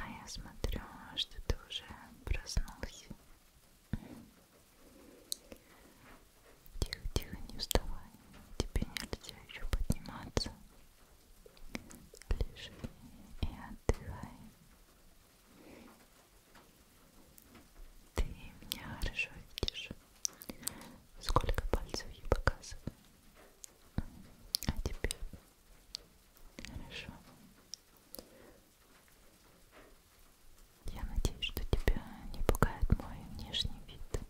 А я смотрю, что ты уже проснулся. Тихо, тихо, не вставай. Тебе нельзя еще подниматься. Лежи и отдыхай. Ты меня хорошо видишь. Сколько пальцев я показываю. А теперь хорошо. Я надеюсь, что тебя не пугает мой внешний вид.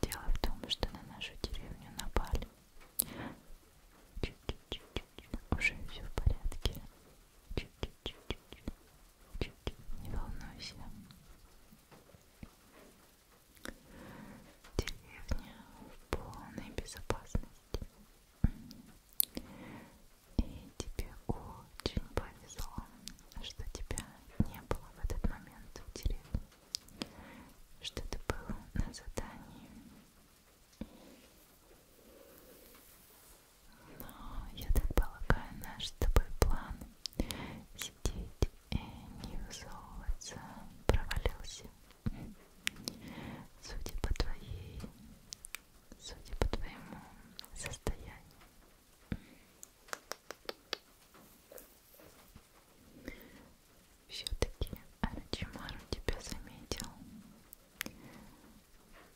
Дело в том, что на нашу деревню напали. Уже все в порядке. Не волнуйся. Деревня в полной безопасности. И тебе очень повезло, что тебя не было в этот момент в деревне, что ты был на задании. Но, я так полагаю, наш с тобой план сидеть и не высовываться провалился. Судя по твоей судя по твоему состоянию. Все-таки Арачимару тебя заметил.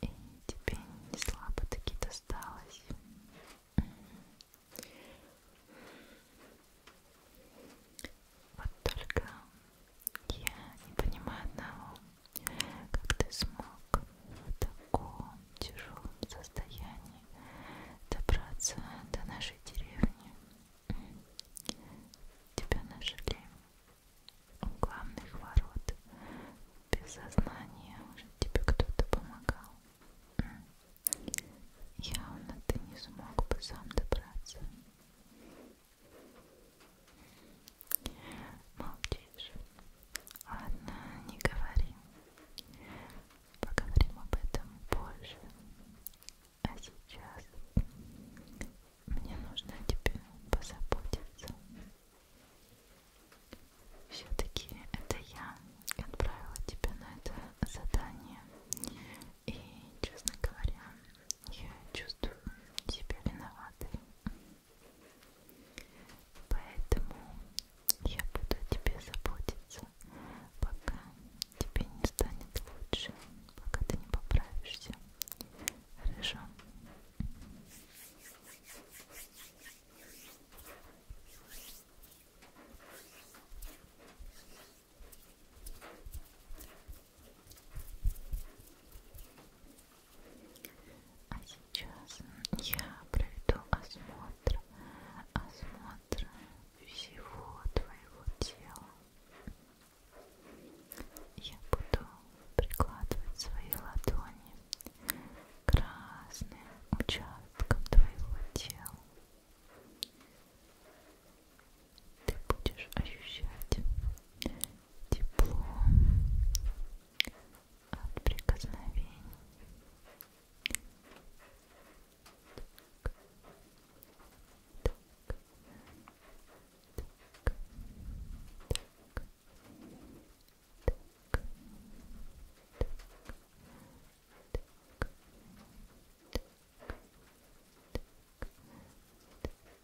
И тебе не слабо таки досталось. Вот только я не понимаю одного как ты смог в таком тяжелом состоянии добраться до нашей деревни. Тебя нашли у главных ворот без сознания уже тебе кто-то помогал. Явно ты не смог бы сам добраться. Молчишь. Ладно, не говори. Поговорим об этом позже. А сейчас мне нужно о тебе позаботиться. Все-таки это я отправила тебя на это задание. И, честно говоря, я чувствую себя виноватой. Поэтому я буду о тебе заботиться, пока тебе не станет лучше, пока ты не поправишься. Хорошо? Пока. А сейчас я проведу осмотр, осмотр всего твоего тела. Я буду прикладывать свои ладони к разным участкам твоего тела. Ты будешь ощущать тепло, от прикосновений. Так. Так. Так. Так. Так. Так. Так. Так.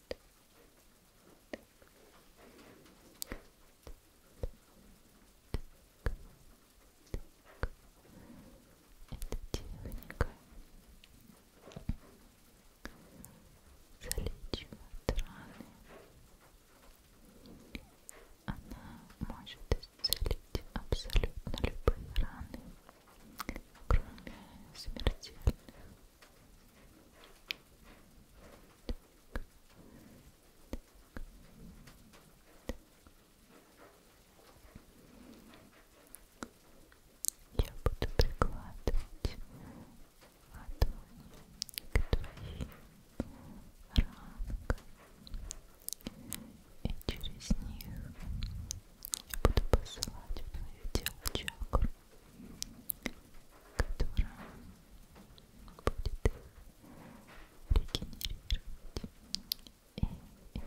техника залечивает раны. Она может исцелить абсолютно любые раны, кроме смертельных. Я буду прикладывать ладони к твоим ранкам, и через них я буду посылать в твое тело чакру которая будет их регенерировать и излечивать. Так. Так. Так.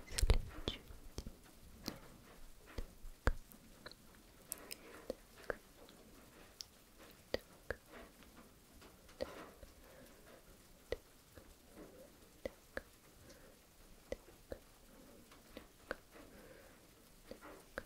Так. Так. Так. Так. Так.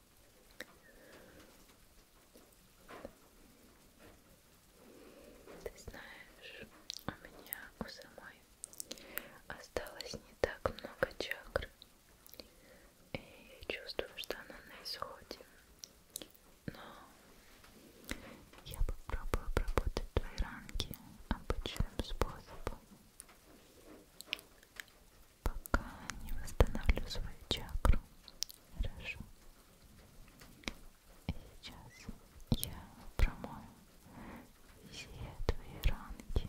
Ты знаешь, у меня у самой осталось не так много чакр. И я чувствую, что она на исходе. Но я попробую обработать твои ранки обычным способом пока не восстановлю свою чакру. Хорошо. И сейчас я промою все твои ранки.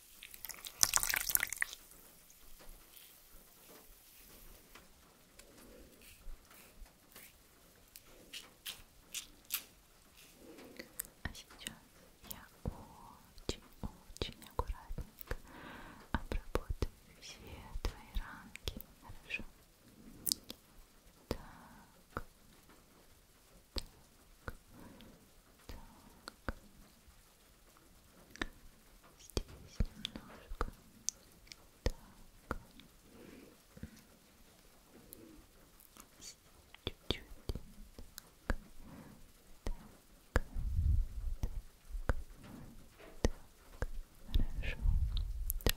А сейчас я очень-очень аккуратненько обработаю все твои ранки. Хорошо? Так так. Здесь немножко. Так. Чуть-чуть. Так. Так. Так. Так. Хорошо. Так. Так.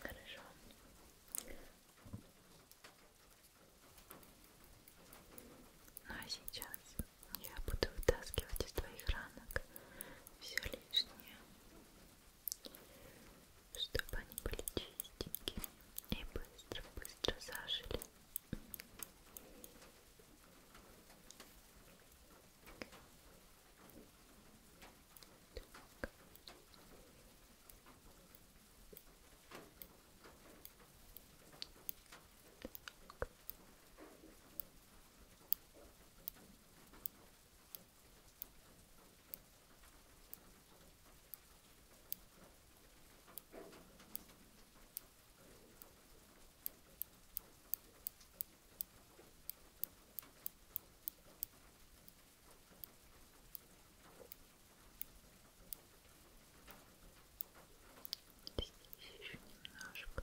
Хорошо. Ну а сейчас я буду вытаскивать из твоих ранок все лишнее чтобы они были чистенькими и быстро-быстро зажили. Так. Так. Здесь еще немножко.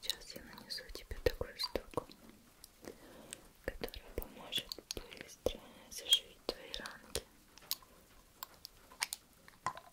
Сейчас я нанесу тебе такую штуку, которая поможет быстро заживить твои ранки. Так.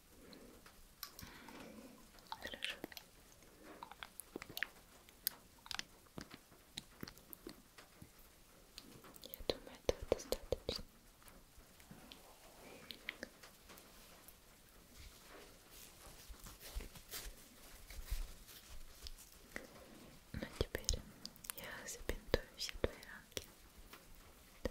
Слышу. Я думаю, этого достаточно. Ну теперь я забинтую все твои ранки. Да.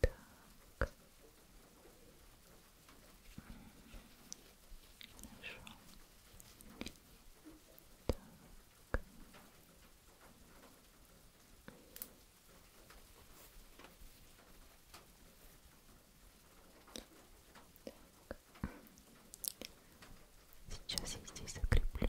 Так. Хорошо. Так. Так. Сейчас я здесь закреплю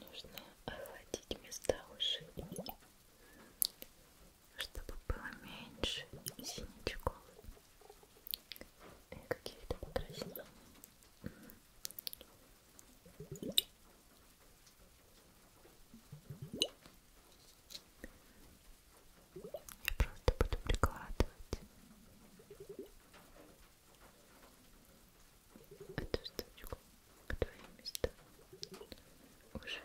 Нужно охладить места ушей, чтобы было меньше синячков и каких-то покраснений. Я просто буду прикладывать эту штучку в твои места ушиб. Ушиб.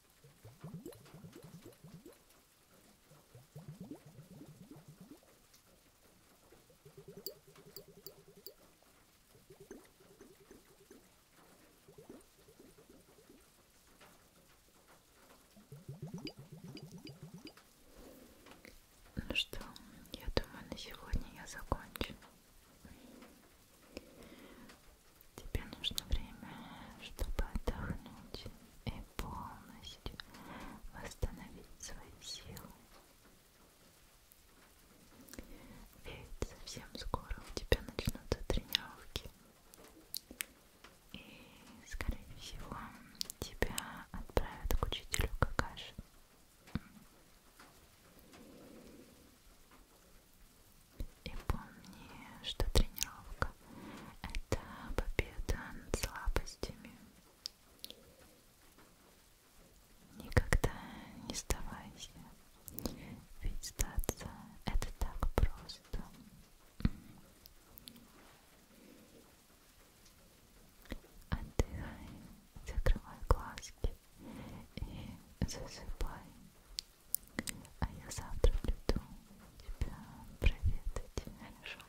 Ну что, я думаю, на сегодня я закончу. Тебе нужно время, чтобы отдохнуть и полностью восстановить свои силы. Ведь совсем скоро у тебя начнутся тренировки. И, скорее всего, тебя отправят к учителю какаши. И помни, что тренировка — это победа над слабостями. Никогда не сдавайся, ведь сдаться — это так просто. Отдыхай, закрывай глазки и засыпай. А я завтра приду тебя проведать. Хорошо?